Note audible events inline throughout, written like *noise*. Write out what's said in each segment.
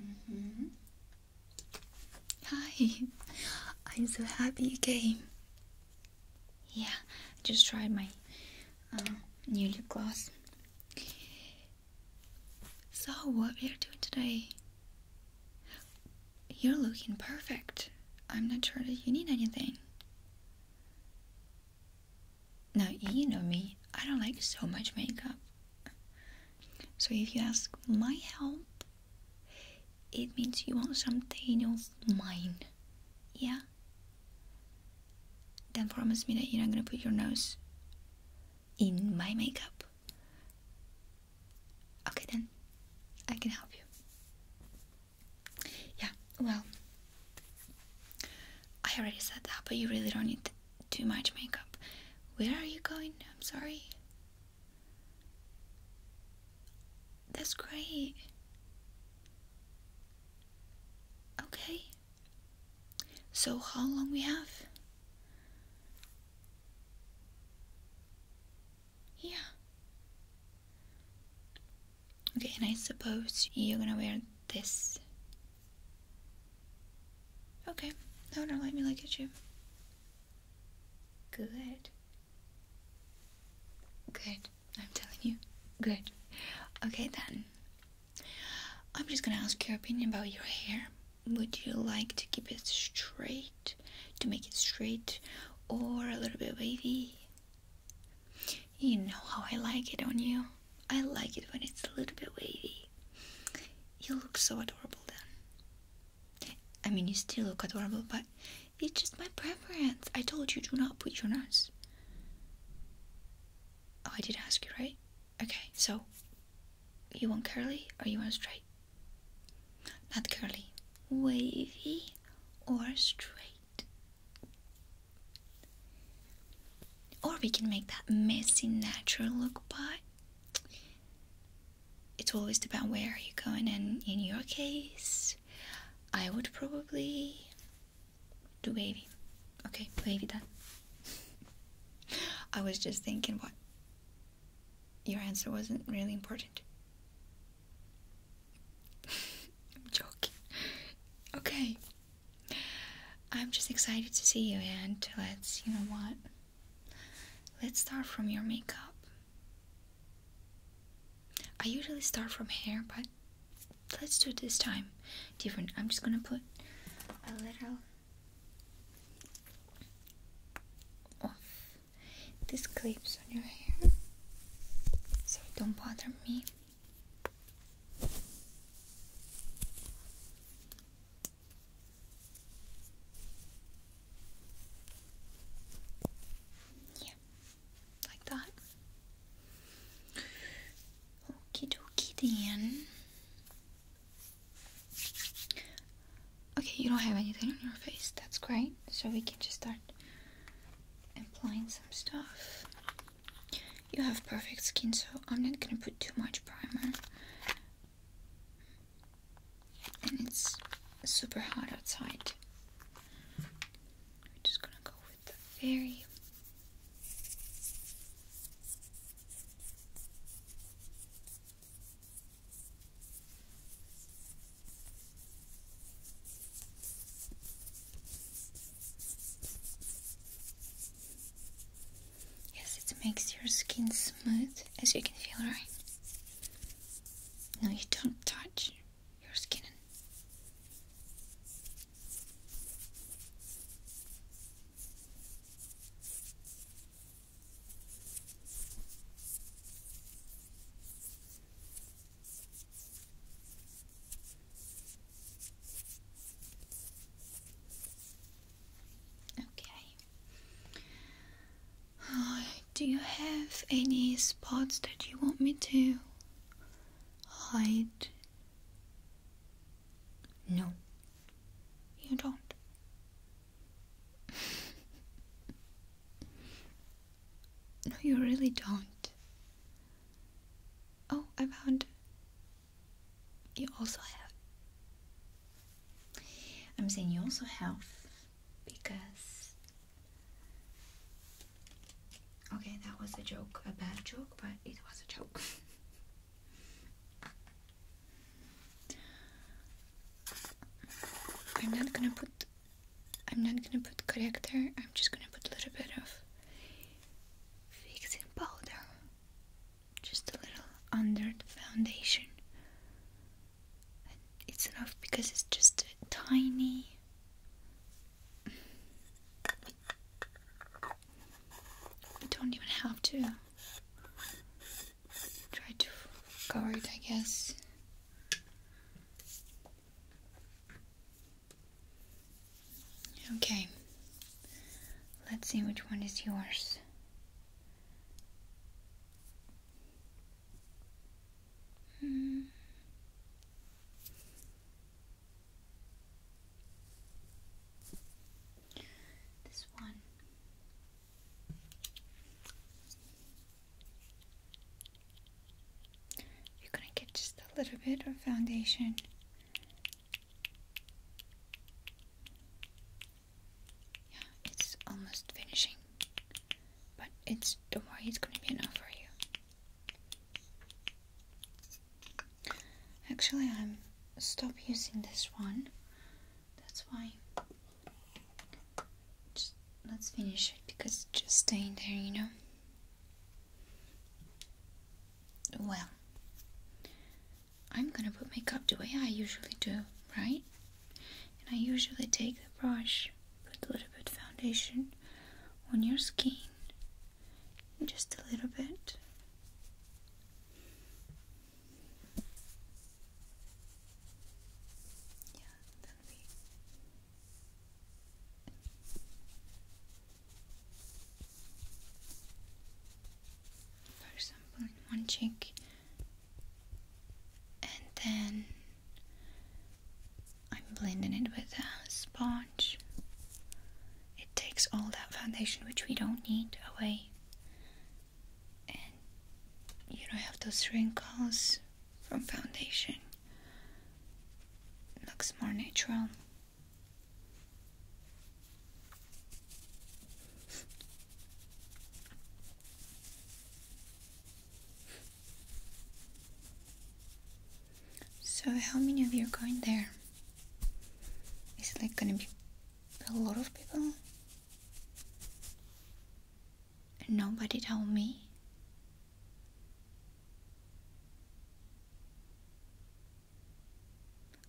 Mm -hmm. Hi, *laughs* I'm so happy you came. Yeah, I just tried my uh, new lip gloss. So, what we are doing today? You're looking perfect. I'm not sure that you need anything. Now, you know me, I don't like so much makeup. So, if you ask my help, it means you want something of mine. Yeah? Then promise me that you're not gonna put your nose in my makeup. Okay, then I can help you. Yeah, well, I already said that, but you really don't need too much makeup. Where are you going? I'm sorry. That's great. Okay. So how long we have? Yeah. Okay, and I suppose you're gonna wear this. Okay, no, oh, don't let me look at you. Good. Good, I'm telling you. Good. Okay then. I'm just gonna ask your opinion about your hair. Would you like to keep it straight, to make it straight, or a little bit wavy? You know how I like it on you. I like it when it's a little bit wavy. You look so adorable then. I mean, you still look adorable, but it's just my preference. I told you do not put your nose. Oh, I did ask you, right? Okay, so you want curly or you want straight? Not curly, wavy or straight. Or we can make that messy natural look, but it always depends where you're going. And in your case, I would probably do baby, Okay, baby done. I was just thinking what your answer wasn't really important. *laughs* I'm joking. Okay. I'm just excited to see you and let's, you know what? Let's start from your makeup. I usually start from hair, but let's do it this time different. I'm just gonna put a little off these clips on your hair so don't bother me. Yeah, like that. Okie dokie then. Okay, you don't have anything on your face. That's great. So we can just start applying some stuff. You have perfect skin, so I'm not gonna put too much primer. And it's super hot outside. We're just gonna go the very Yes, it makes your skin smooth as you can feel, right? No, you don't touch your skin. Okay. Uh, do you have any spots that you want me to hide no, you don't. *laughs* no, you really don't. Oh, I found. You also have. I'm saying you also have because Okay, that was a joke, a bad joke, but it was a joke. *laughs* I'm not gonna put I'm not gonna put corrector, I'm just gonna put a little bit of fixing powder. Just a little under the foundation. it's enough because it's just a tiny I don't even have to try to guard. it, I guess. Okay, let's see which one is yours. Mm. This one. You're going to get just a little bit of foundation. Yeah, it's almost finishing. But it's, don't worry, it's going to be enough for you. Actually, I'm stop using this one. That's why. Just let's finish it because just staying there, you know. Well, I'm gonna put makeup the way I usually do, right? And I usually take the brush, put a little bit foundation on your skin just a little bit. Yeah, For example, in one cheek, and then I'm blending it with a sponge. It takes all that foundation which we don't need away. And you don't have those wrinkles from foundation. looks more natural. So, how many of you are going there? Is it like gonna be a lot of people? nobody told me.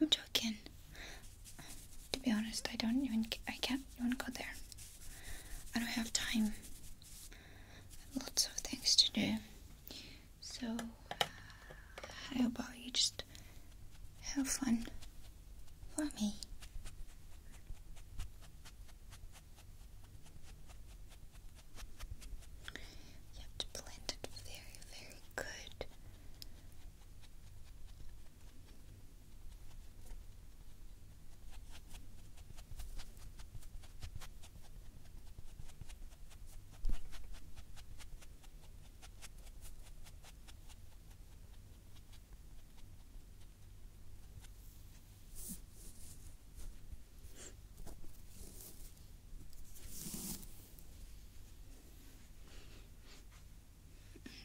I'm joking. To be honest, I don't even. I can't You want to go there. I don't have time. Lots of things to do. So, uh, how about you just have fun for me? You have very, very good.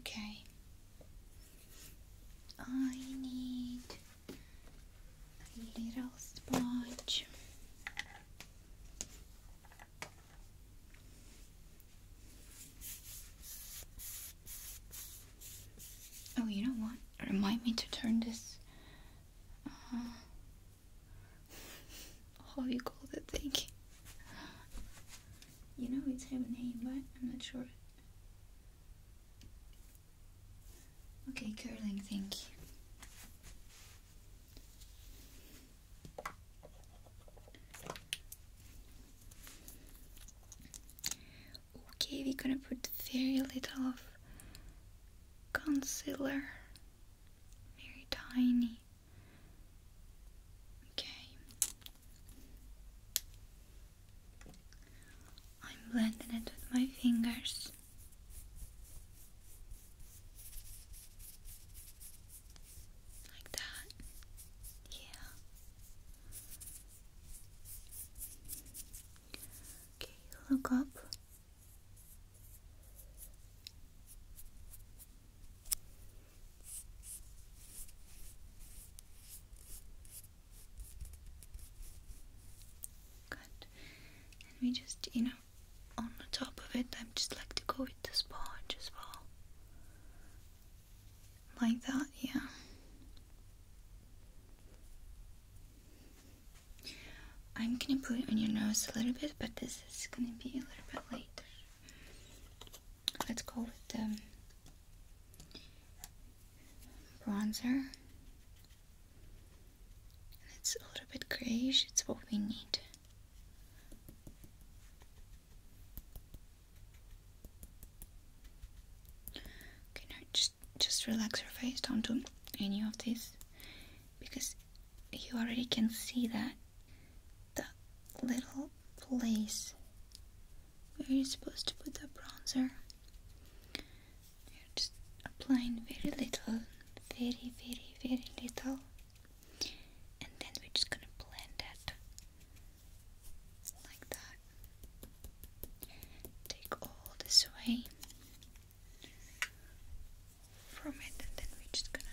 Okay. I need a little sponge. Oh, you know what? Remind me to turn this. Uh, *laughs* how you call that thing? You know, it's have a name, but I'm not sure. Okay, curling, thank you. Okay, we're gonna put very little of concealer, very tiny. Okay, I'm blending it with my fingers this. Like that. Yeah. Okay, look up. Good. And we just, you know, on the top of it, I just like to go with the sponge as well. Like that, yeah. I'm gonna put it on your nose a little bit, but this is gonna be a little bit later. Let's go with the um, bronzer it's a little bit grayish, it's what we need. Okay, now just just relax your face. Don't do any of this because you already can see that the little place where you're supposed to put the bronzer you're just applying very little, very, very, very little, and then we're just gonna blend it like that. Take all this away from it, and then we're just gonna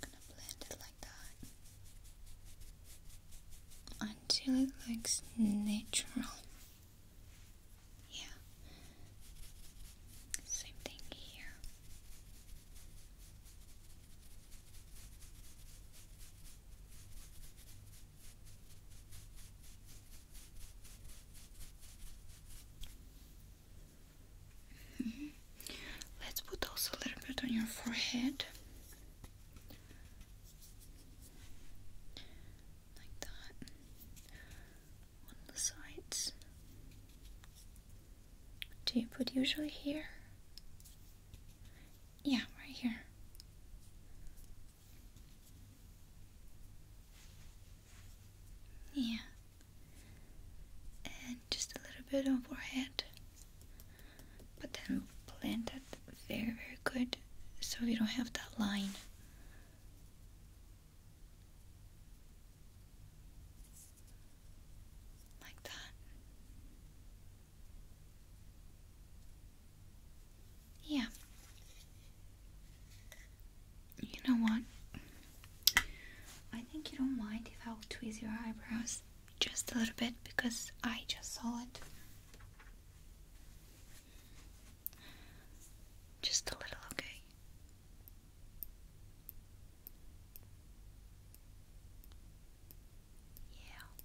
gonna blend it like that until it looks natural. Yeah. Same thing here. Mm-hmm. Let's put also a little bit on your forehead. Like that. On the sides. Do you put usually here? Yeah, right here. Yeah. And just a little bit on forehead. But then blend that very, very good so we don't have that line. Like that. Yeah. You know what? I think you don't mind if I'll tweeze your eyebrows just a little bit because I just saw it. Just a little, okay? Yeah.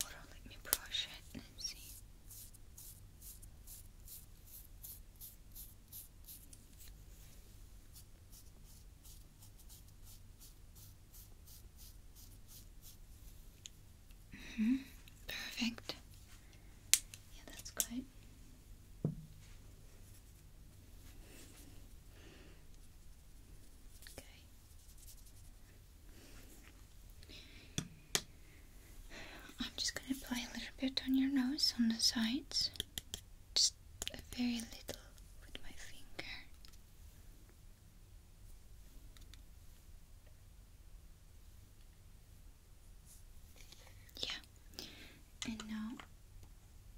let me brush it and see. -hmm. Perfect. Yeah, that's good. Okay. I'm just gonna apply a little bit on your nose on the sides, just a very little with my finger. Yeah, and now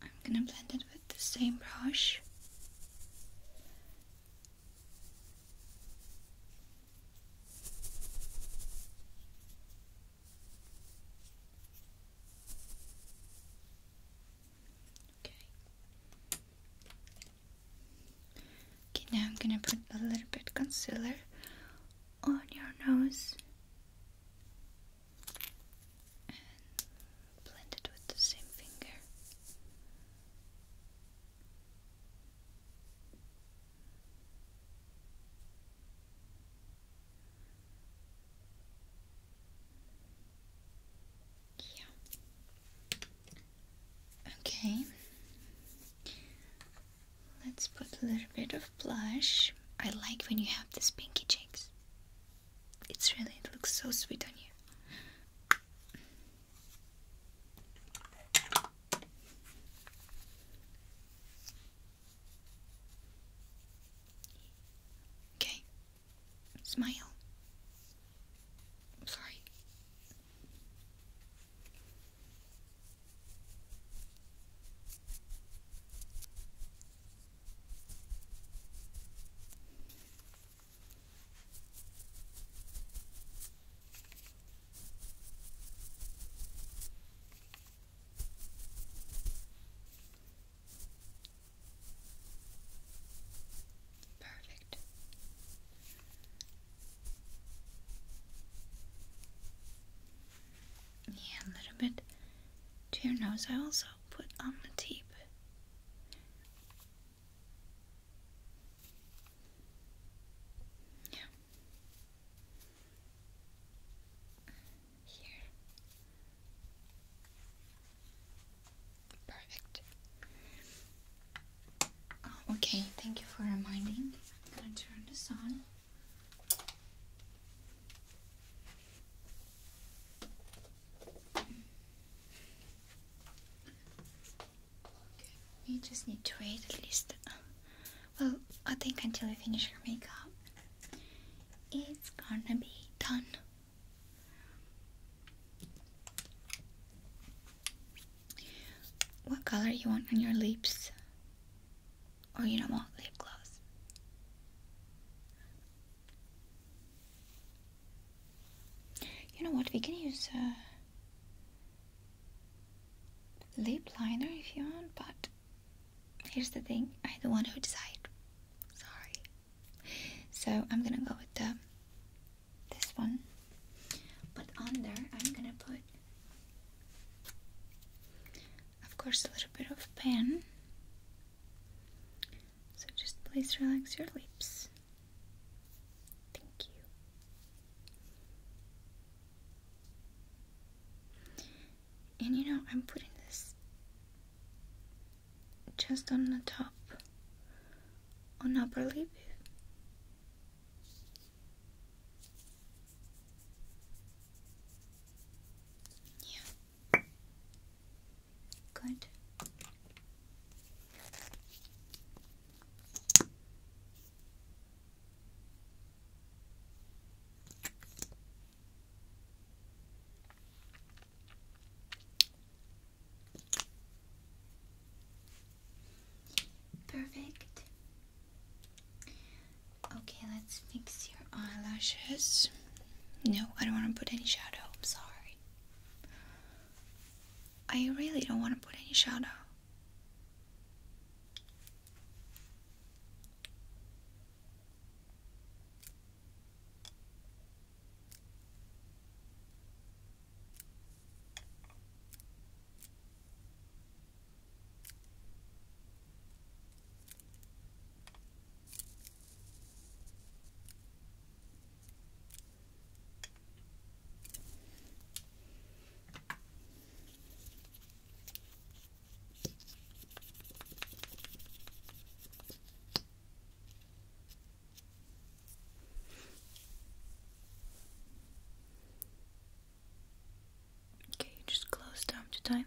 I'm gonna blend it with the same brush. Okay. Okay, now I'm gonna put a little bit concealer on your nose and blend it with the same finger. Yeah. Okay. Let's put a little bit of blush. I like when you have these pinky cheeks. It's really, looks so sweet on you. Okay. Smile. sorry. Perfect. Yeah, a little bit to your nose. I also put on the tip. Yeah. Here. Perfect. Oh, okay, thank you for reminding. I'm gonna turn this on. We just need to wait at least. Um, well, I think until you finish your makeup, it's gonna be done. What color you want on your lips? Or oh, you don't want lip gloss? You know what? We can use a uh, lip liner if you want, but here's the thing: I don't want to decide. Sorry. So I'm gonna go with the um, this one, but under I'm gonna put, of course, a little bit of pen. So just please relax your lips. Thank you. And you know, I'm putting this just on the top, on upper lip. Yeah. Good. Perfect. Okay, let's fix your eyelashes. No, I don't want to put any shadow. I'm sorry. I really don't want to put any shadow. Okay, you just close down to time.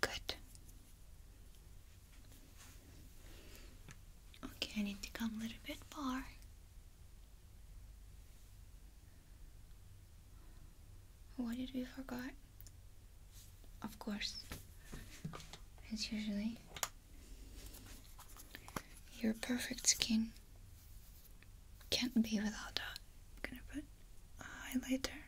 Good. Okay, I need to come a little bit far. What did we forget? Of course, it's usually, your perfect skin. Can't be without that. I'm gonna put a highlighter.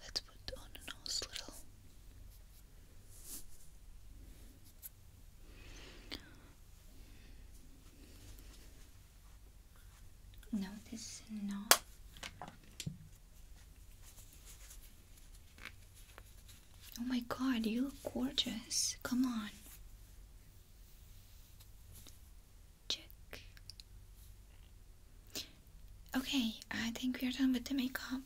Let's put on a little. No, this is not. Oh my god, you look gorgeous. Come on. Check. Okay, I think we are done with the makeup.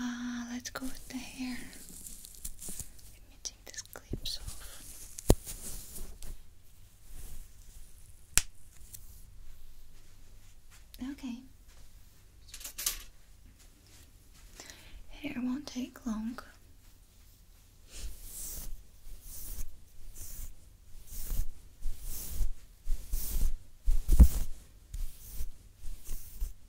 Uh, let's go with the hair. Let me take these clips off. Okay. Hair won't take long.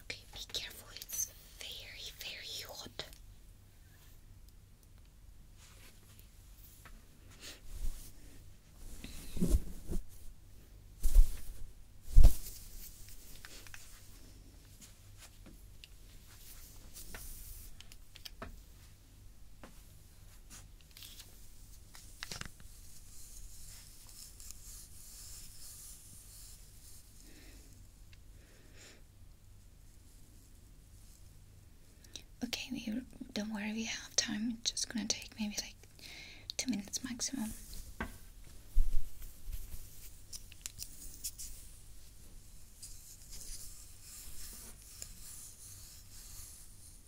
Okay, be careful, it's very, very hot. Okay, we don't worry, we have time. It's just gonna take maybe like two minutes maximum.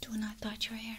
Do not touch your hair.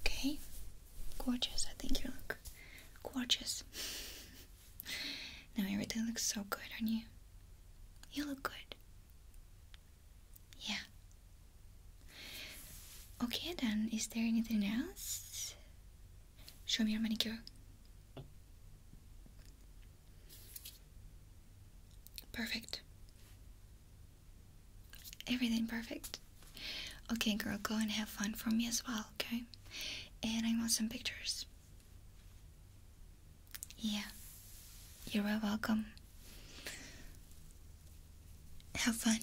Okay, gorgeous. I think you look gorgeous. *laughs* now everything looks so good on you. You look good. Yeah. Okay, then, is there anything else? Show me your manicure. Perfect. Everything perfect. Okay, girl, go and have fun for me as well, okay? And I want some pictures. Yeah, you're welcome. Have fun.